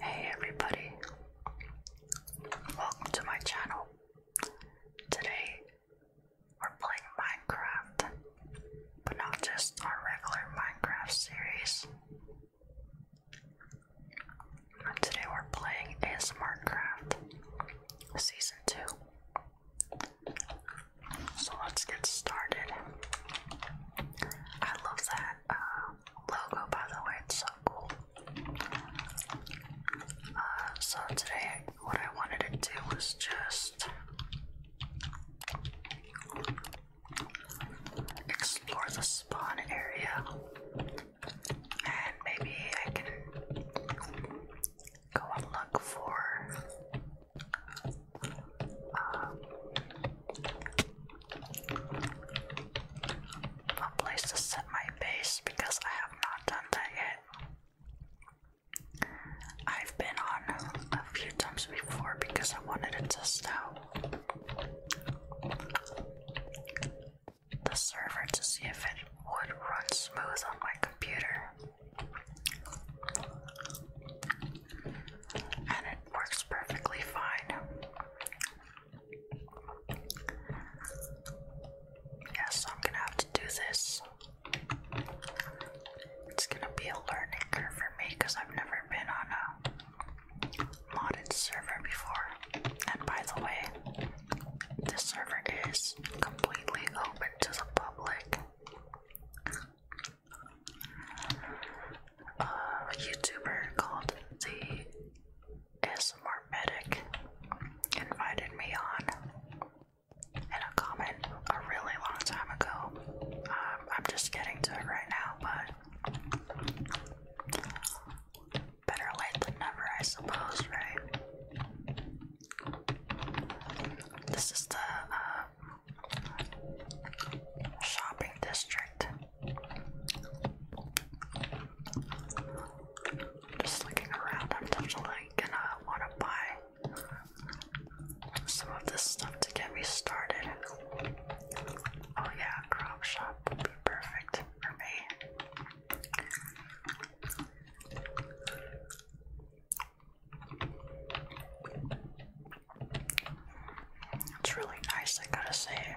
Hey everybody, welcome to my channel. Today we're playing Minecraft, but not just our regular Minecraft series. Today we're playing a SmartCraft Season 2. So let's get started. I love that um, logo, by the way, it's so cool. Uh, so today, what I wanted to do was just explore the spawn area, and maybe I can go and look for. Um, a place to set my base because I have not done that yet. I've been on a few times before because I wanted to test out the server to see if it would run smooth on my computer and it works perfectly fine. Yeah, I'm gonna have to do this. It's gonna be a learning curve for me because I've never been on a modded server before. And by the way, this server is completely open to the public a uh, YouTuber called the ASMR Medic invited me on in a comment a really long time ago. Um, I'm just getting to it right now, but better late than never, I suppose, right? This is the uh, shopping district I'm Just looking around, I'm definitely gonna want to buy some of this stuff to get me started. Oh yeah, crop shop would be perfect for me. It's really nice, I gotta say.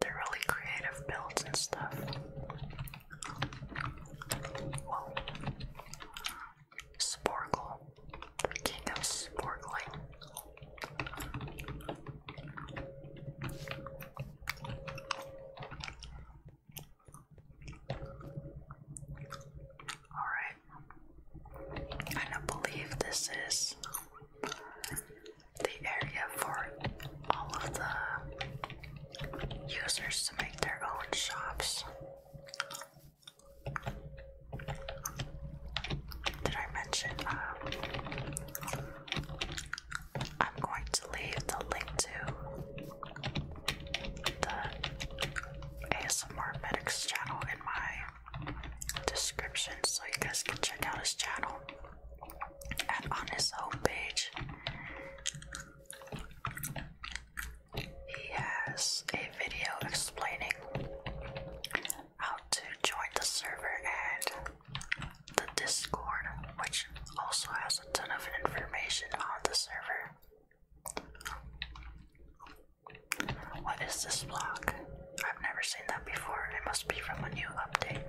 They're really creative builds and stuff. Whoa. Sporkle. king of sporkling. Alright, I don't believe this is the area for all of the users to make their own shops. Did I mention? Um, I'm going to leave the link to the ASMR Medics channel in my description so you guys can check out his channel and on his homepage he has a video explaining how to join the server and the Discord, which also has a ton of information on the server. What is this block? I've never seen that before. It must be from a new update.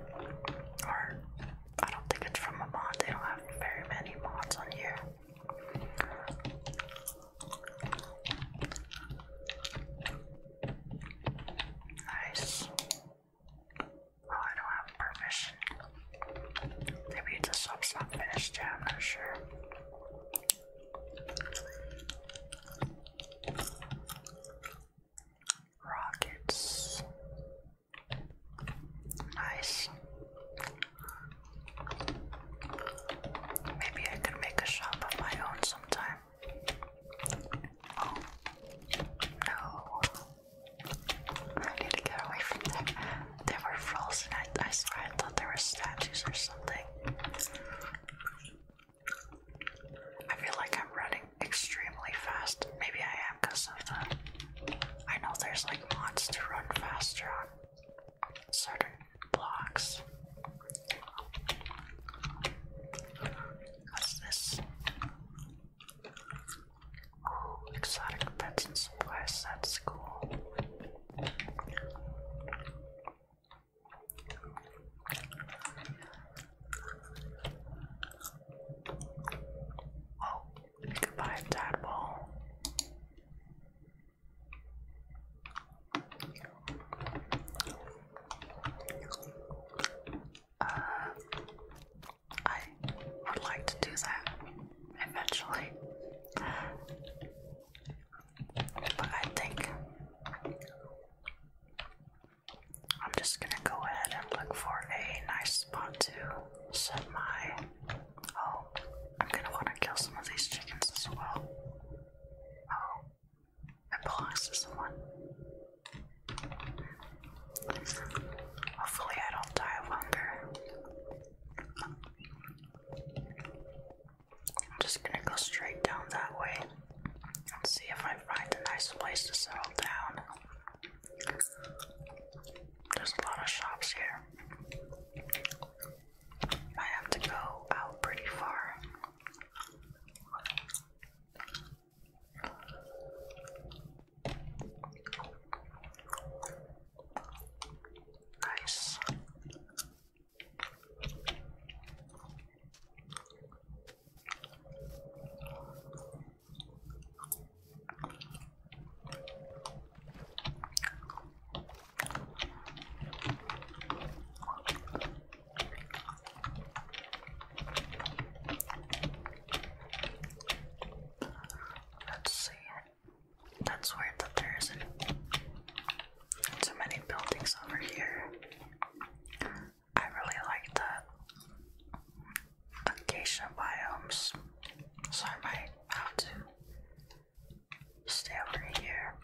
Or, I don't think it's from a mod. They don't have very many mods on here. Nice. Oh, I don't have permission. Maybe it's a sub's not finished yet, not sure. Rockets. Nice. Maybe I could make a shop of my own sometime. Oh. No. I need to get away from there. were frozen. I swear I thought there were statues or something. I feel like I'm running extremely fast. Maybe I am because of the. I know there's like mods to run faster on certain blocks. What's this? Ooh, exotic pets and supplies. That's cool. Oh, goodbye, tadpole. Uh, I would like to do that eventually. But I think I'm just gonna go ahead and look for a nice spot to set my. Oh, I'm gonna want to kill some of these chickens as well. Oh, it belongs to someone. Hopefully, I don't die of hunger. I'm just gonna go straight down that way and see if I find a nice place to settle down. There's a lot of shops here. I have to go out pretty far. Nice. Let's see. That's weird that there isn't too many buildings over here. I really like the acacia biomes, so I might have to stay over here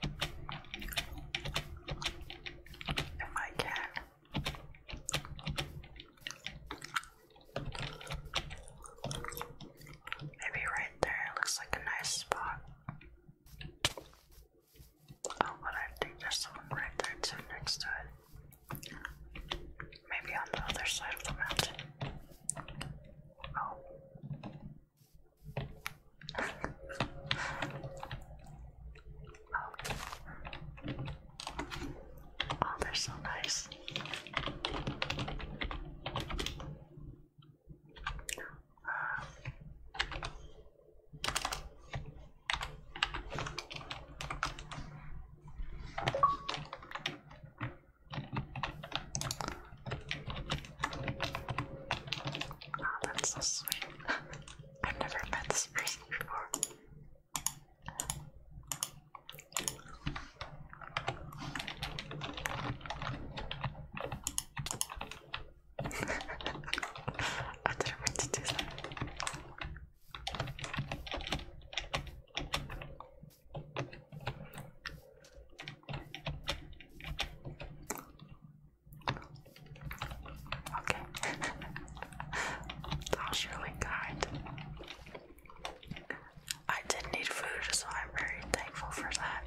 if I can. Maybe right there looks like a nice spot. Oh, but I think there's someone right there too next to it. Maybe on the other side of the mountain. oh. Oh, they're so nice. Oh, that's so sweet. I've never met this person before. I didn't mean to do really kind. I did need food, so I'm very thankful for that.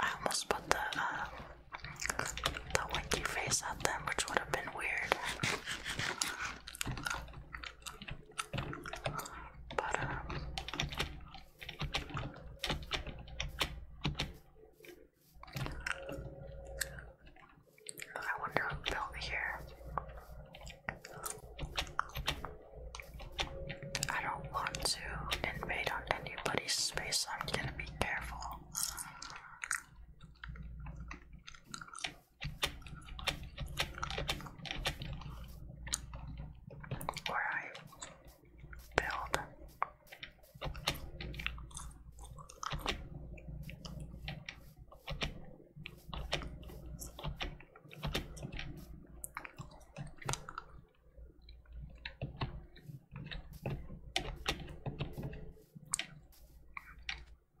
I almost put the um, the winky face at them, which would have been weird. But um, I wonder who built here. I don't want to invade on anybody's space, I'm gonna be careful. Where I build.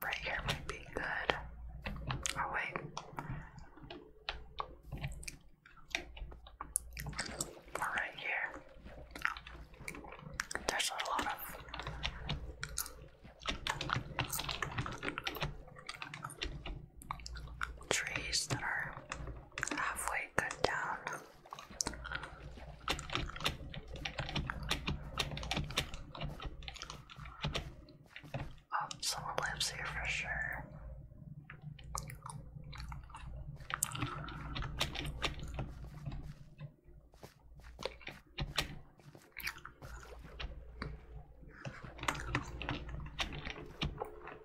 Right here might be good. Oh, wait. right here. There's a lot of trees that are halfway cut down. Oh, someone lives here for sure.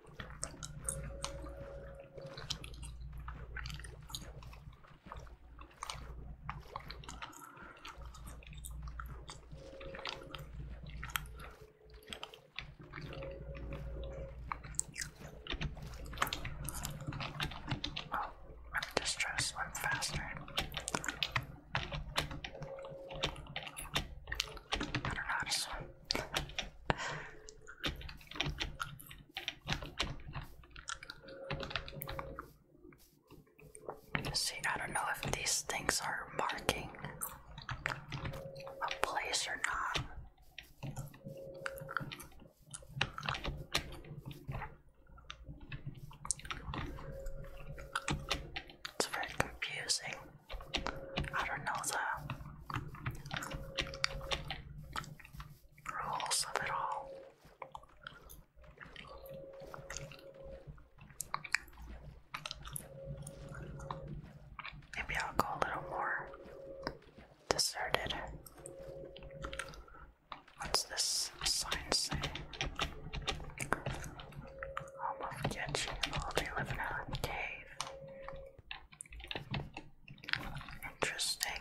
Oh, I'm distressed, I'm faster. I don't know See, I don't know if these things are marking a place or not. It's very confusing. I don't know the rules of it all. Maybe I'll go a little more deserted. What's this sign say? Home of Genshin, well, they live in a cave. Interesting.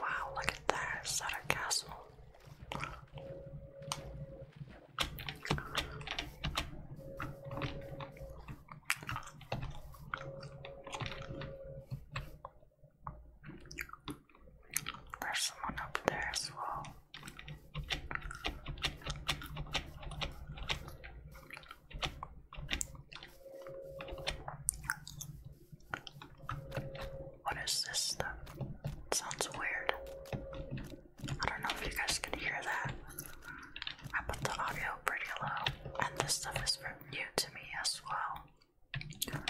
Wow, look at that, is that a castle? There's someone up there as well. What is this stuff? sounds weird. I don't know if you guys can hear that. I put the audio pretty low, and this stuff is new to me as well.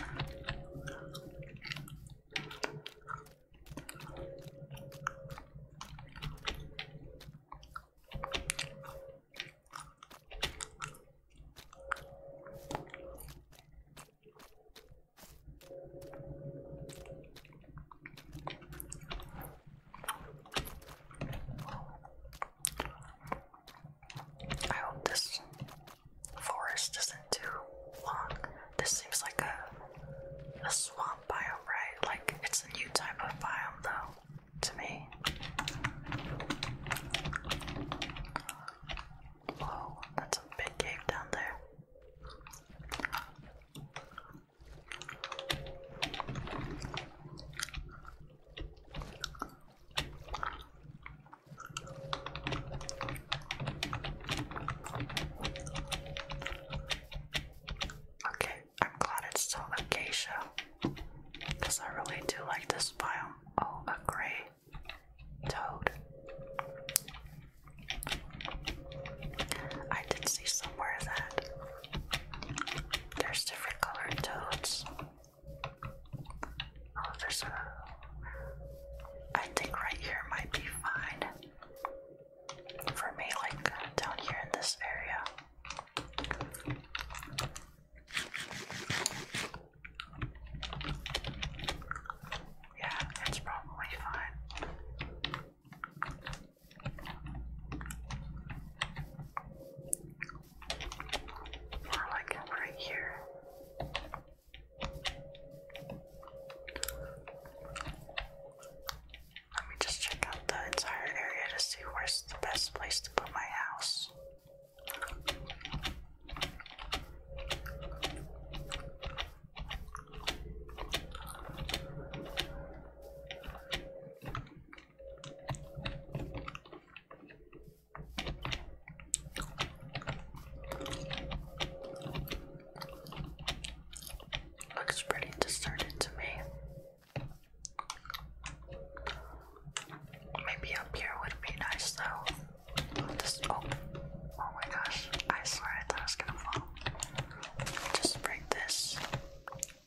I hope this forest isn't too long. This seems like a a swamp biome, right? Like it's a new type of biome though to me. Whoa, that's a big cave down there. Okay, I'm glad it's still acacia because I really do like this biome. Oh, a gray toad. I did see somewhere that there's different colored toads. Oh, there's a. I think right here might be fine. For me, like down here in this area. Yeah, it's probably fine. More like right here. Let me just check out the entire area to see where's the best place to put my house. Looks pretty deserted to me. Maybe up here would be nice though. oh, oh my gosh, I swear I thought it was gonna fall. Just break this.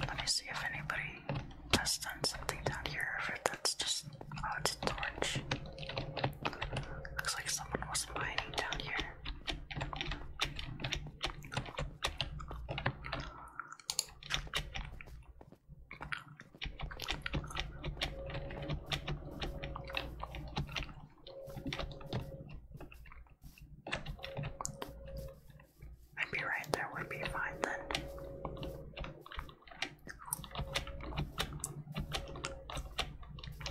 Let me see if anybody has done something down here, if that's just, oh, it's a torch. Looks like someone was mining down here. Maybe right there would be fine then.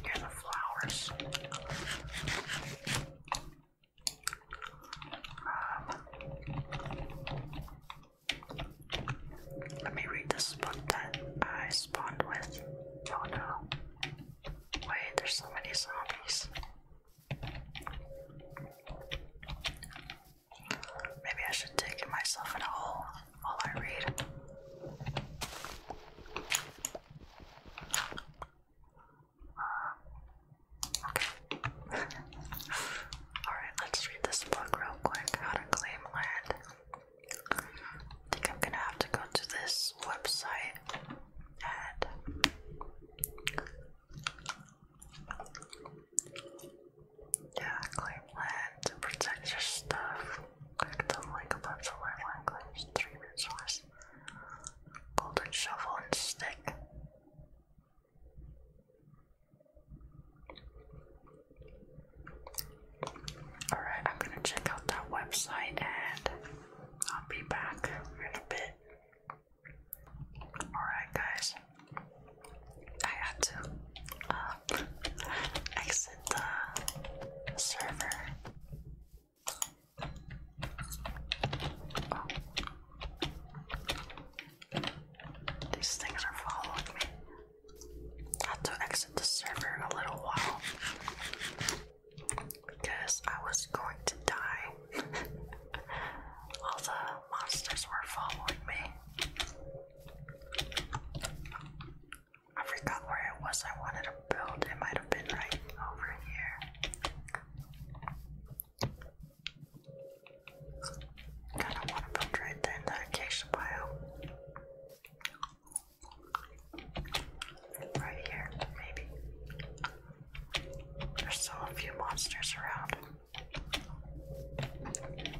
Here the flowers. Um, let me read this book that I spawned with. Oh no. Wait, there's so many zombies. Maybe I should dig myself in a hole while I read. Uh, okay. Alright, let's read this book real quick. How to claim land. I think I'm gonna have to go to this website ad. Yeah, claim land to protect your stuff. Click the link above to learn language. Three resource. Golden shovel and stick. Alright, I'm gonna check out that website and I'll be back in a bit. Alright, guys, I had to uh, exit the server. These things are following me. had to exit the server a little while because I was going to die. All the monsters were following me. I forgot where it was I wanted to build. It might have been right over here. Kinda wanna build right there in the acacia bio. Right here, maybe. There's still a few monsters around.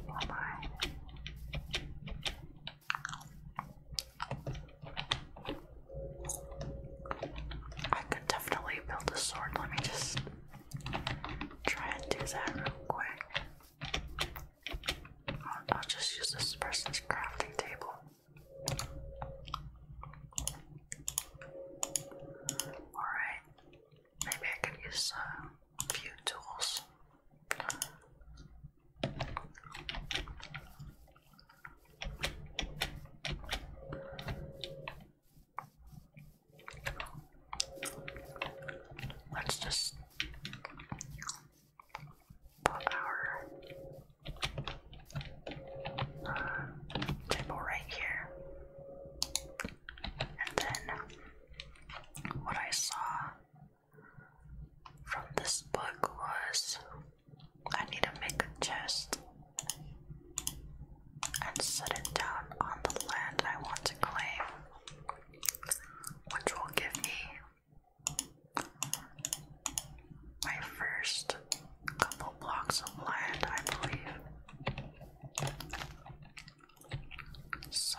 Oh my. I could definitely build a sword. Let me just try and do that real quick. I'll just use this person's crafting table. Alright, maybe I can use a few tools. Let's just our uh, table right here. And then what I saw from this book was I need to make a chest and set it down on the land I want to claim, which will give me my first couple blocks of land, I believe. So,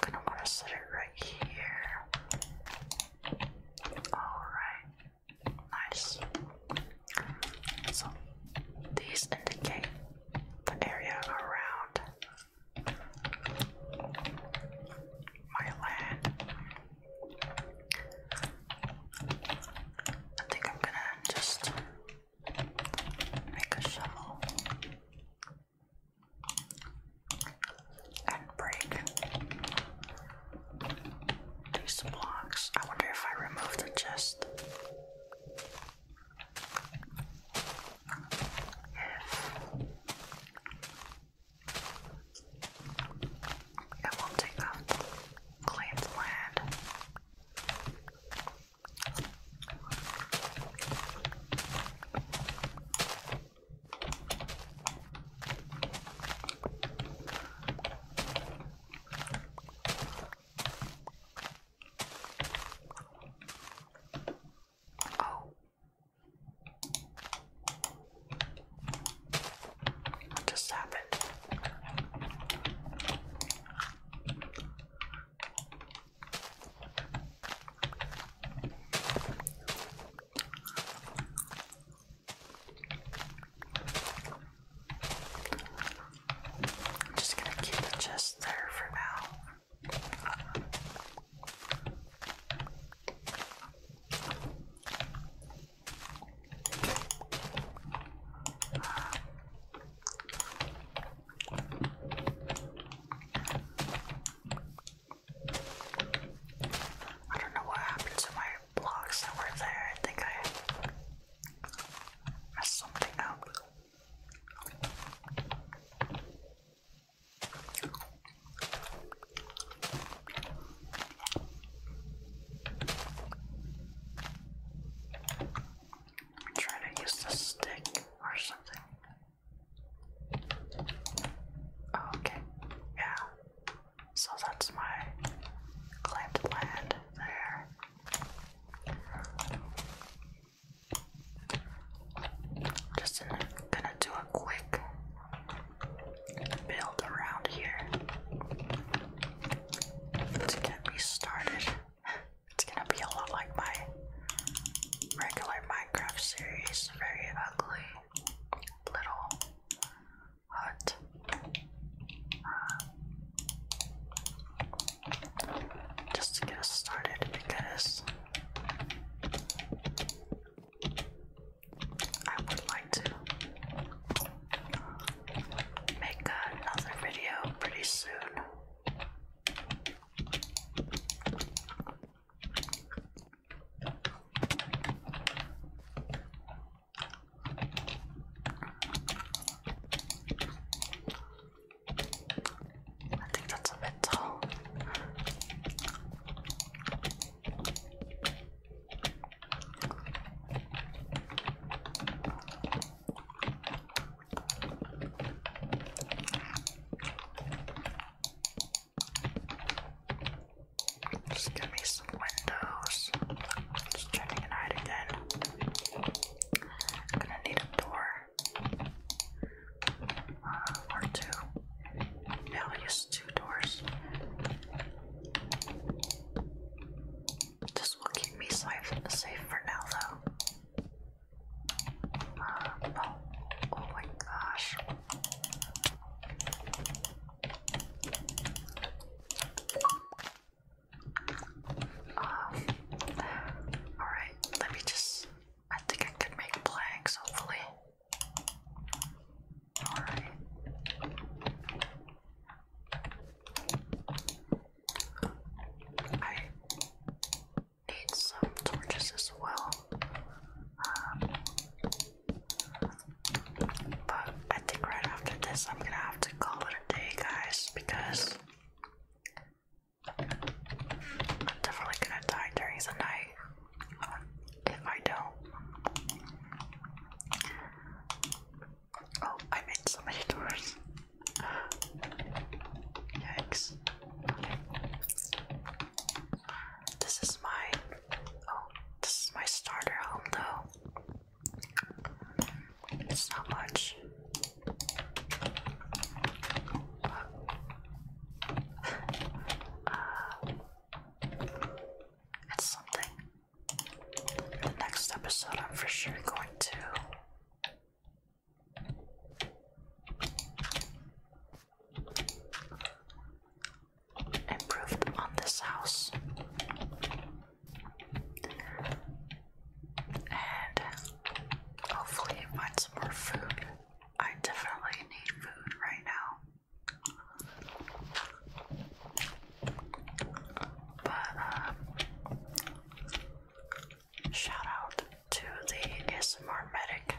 gonna want to set it right here. Alright, nice. So, these indicate the area around my land. I think I'm gonna just make a shovel and break these blocks. I wonder if I remove the chest. If it won't take off claimed land. Oh, just happened? I'm just gonna keep the chest there for now. I don't know what happened to my blocks that were there. I think I messed something up. I'm trying to use the stick or something. Oh, okay, yeah. So that's my claimed land there. Just gonna do a quick build around here to get me started. It's gonna be a lot like my regular Minecraft series, very ugly little hut. Uh, just to get us started because I would like to make another video pretty soon. I think that's a bit Just give me some windows. Just checking it again. I'm gonna need a door. Uh, or two. Now I use two doors. This will keep me safe, safe for now, though. Uh, oh, oh, my gosh. Um, all right, let me just I think I could make planks, hopefully. Alright. I need some torches as well. Um, but I think right after this, I'm gonna have to call it a day, guys, because I'm definitely gonna die during the night if I don't. Oh, I made so many doors. Yikes. This is my oh, this is my starter home though. It's not much it's uh, something. the next episode, I'm for sure going to. Improved on this house, and hopefully find some more food I definitely need food right now. But, uh, shout out to the ASMR medic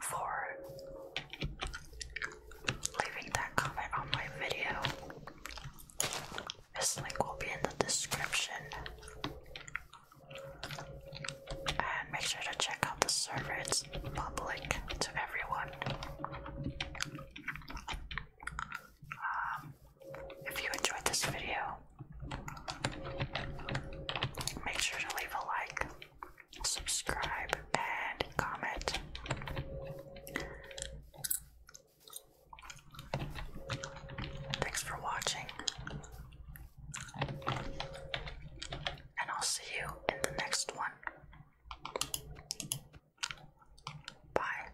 for leaving that comment on my video. His link will be in the description. And make sure to check out the server, it's public to everyone. Um, if you enjoyed this video, make sure to leave a like, subscribe, and comment. Thanks for watching. And I'll see you in the next one. Bye.